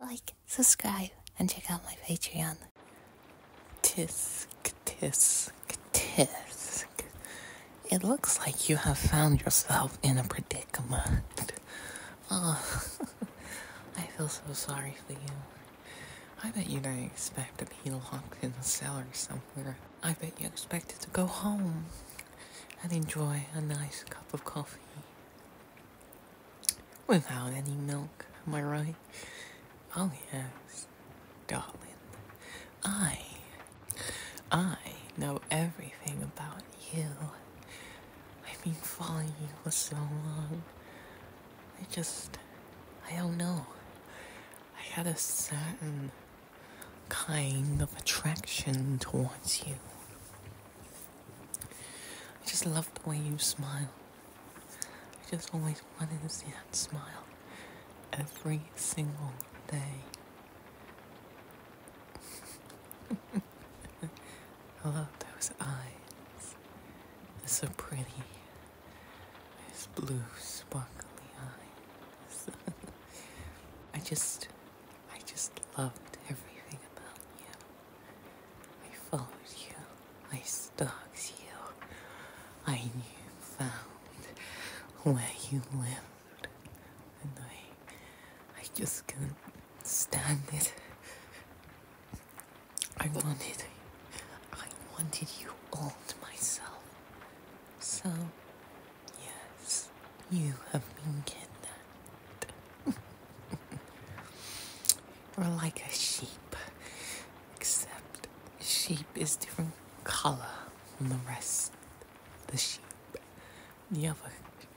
like, subscribe, and check out my Patreon. Tisk, tisk, tisk. It looks like you have found yourself in a predicament. Oh, I feel so sorry for you. I bet you didn't expect to be locked in a cellar somewhere. I bet you expected to go home and enjoy a nice cup of coffee Without any milk, am I right? Oh, yes, darling. I. I know everything about you. I've been following you for so long. I just. I don't know. I had a certain kind of attraction towards you. I just love the way you smile. I just always wanted to see that smile every single day. I love those eyes. They're so pretty. Those blue, sparkly eyes. I just, I just loved everything about you. I followed you. I stalked you. I knew, found where you lived. And I, I just couldn't stand it. I wanted, I wanted you all to myself. So, yes, you have been kidnapped. We're like a sheep, except sheep is different color from the rest the sheep. The other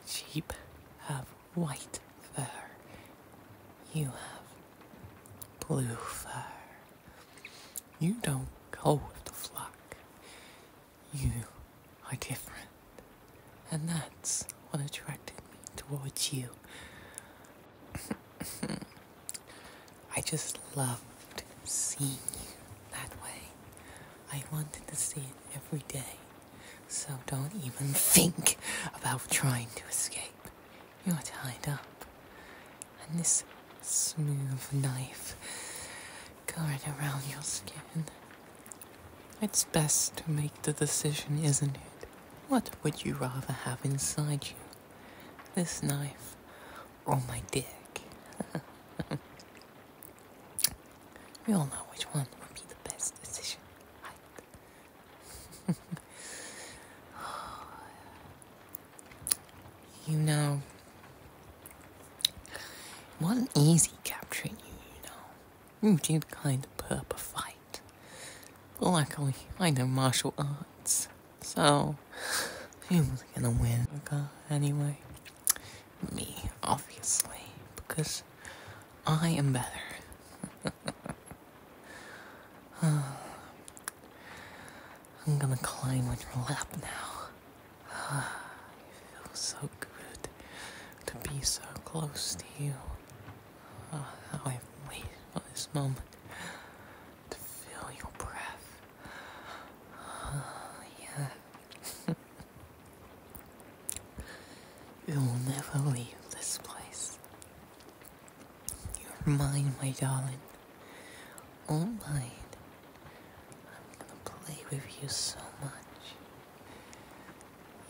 sheep have white fur. You have blue fur. You don't go with the flock. You are different. And that's what attracted me towards you. I just loved seeing you that way. I wanted to see it every day. So don't even think about trying to escape. You're tied up. And this smooth knife going around your skin it's best to make the decision, isn't it? What would you rather have inside you? This knife or my dick? we all know which one would be the best decision, you know, it wasn't easy capturing you, you know. You did kind of purp a fight. luckily, I know martial arts, so he was gonna win the anyway. Me, obviously, because I am better. I'm gonna climb on your lap now. It feels so good to be so close to you. Oh, I've waited for this moment to feel your breath. Oh, yeah. it will never leave this place. You're mine, my darling. All mine. I'm gonna play with you so much.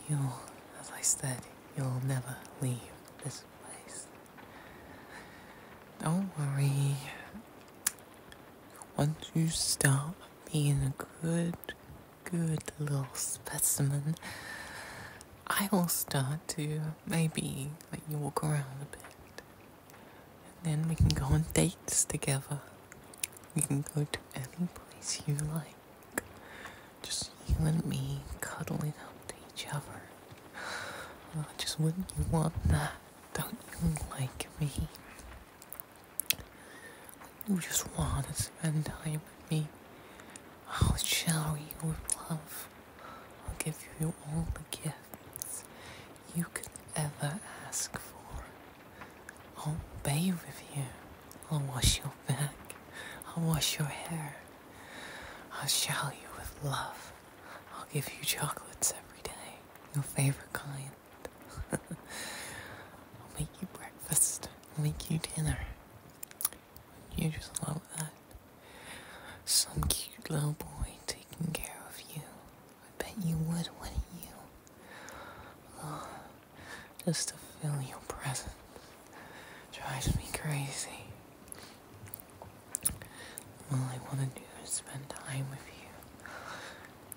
You'll, as I said, you'll never leave this place. Don't worry. Once you stop being a good, good little specimen, I will start to maybe let you walk around a bit. And then we can go on dates together. We can go to any place you like just you and me cuddling up to each other. Uh, just wouldn't you love that? Don't you like me? You just want to spend time with me. I'll shower you with love. I'll give you all the gifts you could ever ask for. I'll bathe with you. I'll wash your back. I'll wash your hair. I'll shower you with love. I'll give you chocolates every day, your favorite kind. I'll make you breakfast. I'll make you dinner. You just love that. Some cute little boy taking care of you. I bet you would, wouldn't you? just to feel your presence drives me crazy. All I want to do is spend time with you.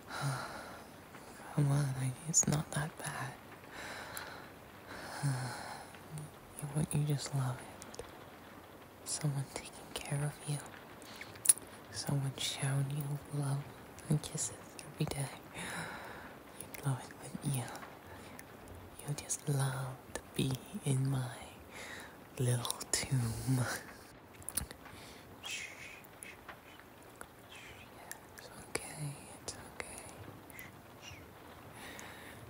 Come on, I, it's not that bad. Wouldn't you just love it? Someone taking care of you. Someone showing you love and kisses every day you love it when you you just love to be in my little tomb. Shh. It's okay, it's okay.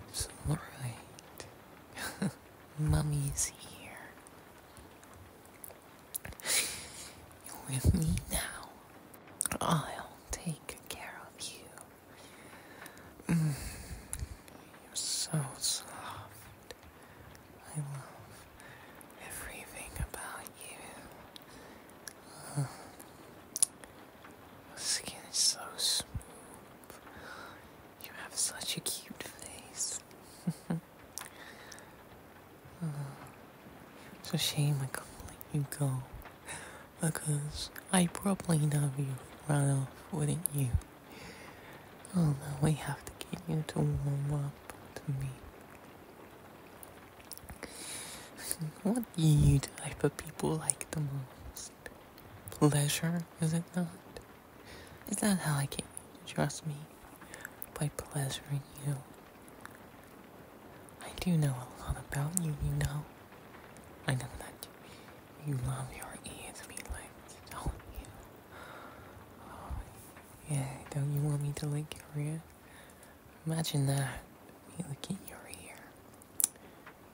It's alright. Mummy's here. You're with me now. I'll take care of you. Mm. You're so soft. I love everything about you. Uh, the skin is so smooth. You have such a cute face. it's a shame I couldn't let you go. Because I probably love you right off, wouldn't you? Oh no, we have to get you to warm up to me. what do you type of people like the most? Pleasure, is it not? Is that how I get to trust me? By pleasuring you. I do know a lot about you, you know. I know that you love your ESP legs, don't you? Oh, yeah, don't you want me to lick your ear? Imagine that, me licking your ear.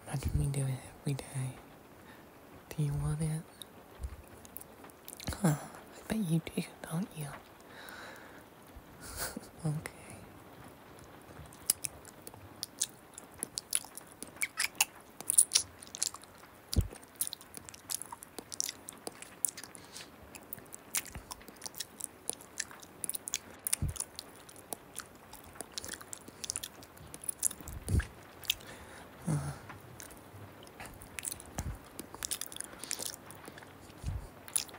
Imagine me doing it every day. Do you want it? Huh, I bet you do, don't you? okay. Uh.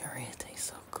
Your it tastes so good.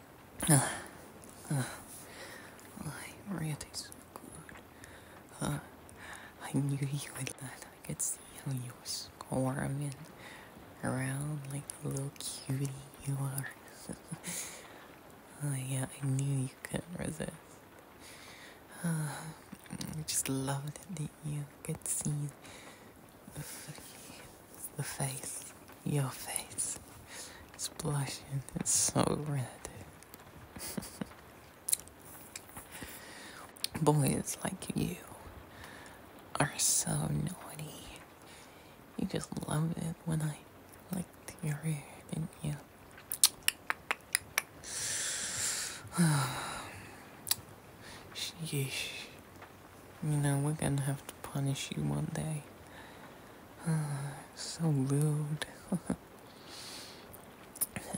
Uh, uh, really so good. I knew you would like I could see how you were squirming around like the little cutie you are. oh yeah, I knew you couldn't resist. I just loved it that you could see The face. Your face is blushing. It's so red. Boys like you are so naughty. You just love it when I like your hair, didn't you? Sheesh. You know, we're gonna have to punish you one day. so rude.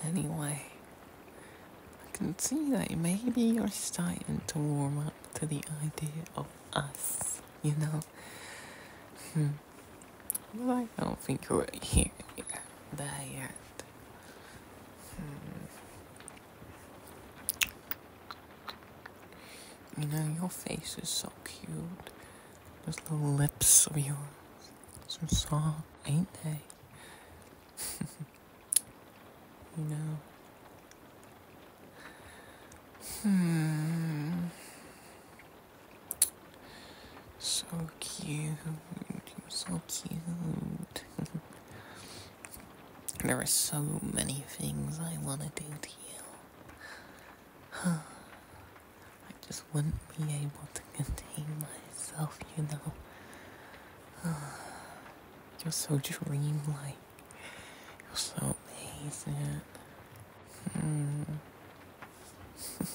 anyway, I can see that maybe you're starting to warm up to the idea of us, you know? But hmm. I don't think you are here yet, hmm. You know, your face is so cute. Those little lips of yours. So soft, ain't they? you know. Hmm. So cute. You're so cute. there are so many things I want to do to you. Huh? I just wouldn't be able to contain myself, you know. You're so dreamlike. You're so amazing. Hmm.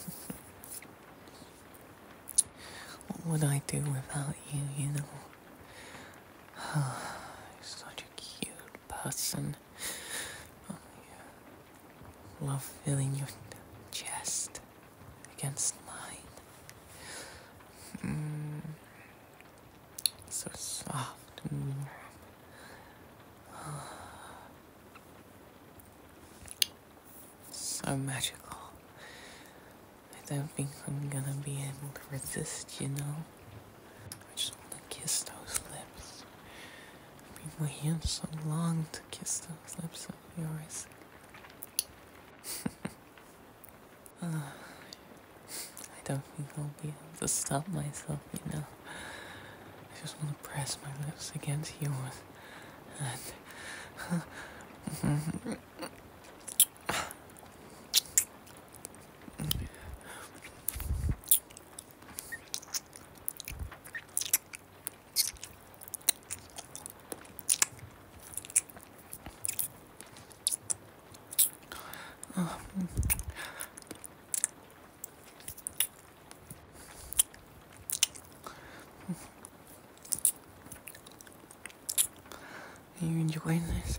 what would I do without you, you know? You're such a cute person. Oh, yeah. Love feeling your chest against mine. Mm. So soft So magical. I don't think I'm gonna be able to resist, you know. I just want to kiss those lips. I've been waiting so long to kiss those lips of yours. I don't think I'll be able to stop myself, you know. I just want to press my lips against yours. And. Are you enjoying this?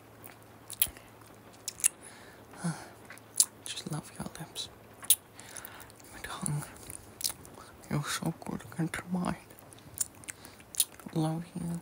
Just love your lips. My tongue. You're so good against mine. Love you.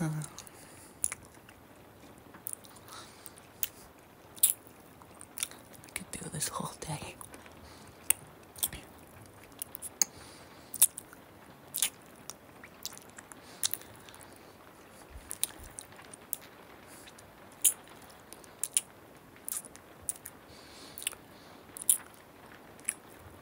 Uh, I could do this whole day.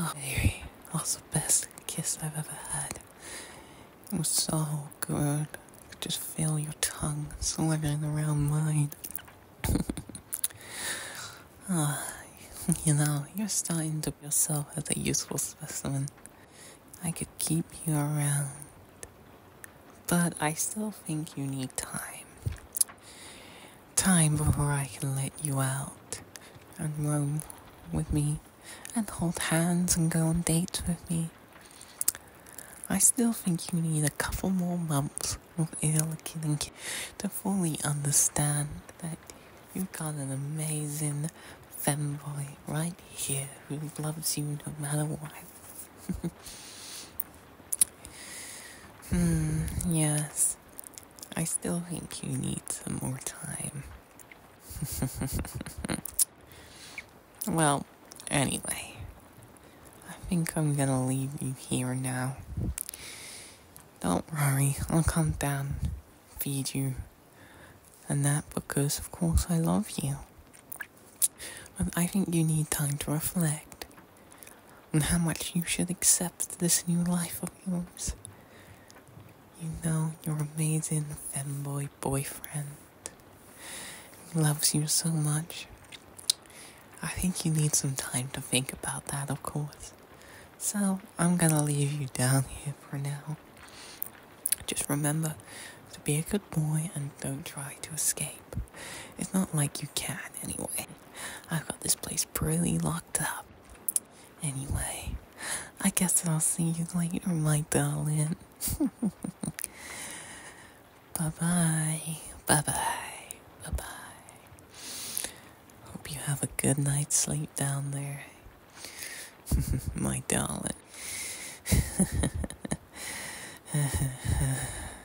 Oh, Harry, that was the best kiss I've ever had. It was so good. just feel your tongue slithering around mine. oh, you know, you're starting to be yourself as a useful specimen. I could keep you around. But I still think you need time time before I can let you out and roam with me and hold hands and go on dates with me. I still think you need a couple more months of ill-killing to fully understand that you've got an amazing femboy right here who loves you no matter what. Hmm, yes. I still think you need some more time. well, anyway, I think I'm gonna leave you here now. Don't worry, I'll come down, feed you, and that because, of course, I love you. But I think you need time to reflect and how much you should accept this new life of yours. You know your amazing femboy boyfriend loves you so much. I think you need some time to think about that, of course. So I'm gonna leave you down here for now. Just remember to be a good boy and don't try to escape. It's not like you can, anyway. I've got this place pretty locked up. Anyway, I guess I'll see you later, my darling. bye bye. Bye bye. Bye bye. Hope you have a good night's sleep down there, my darling.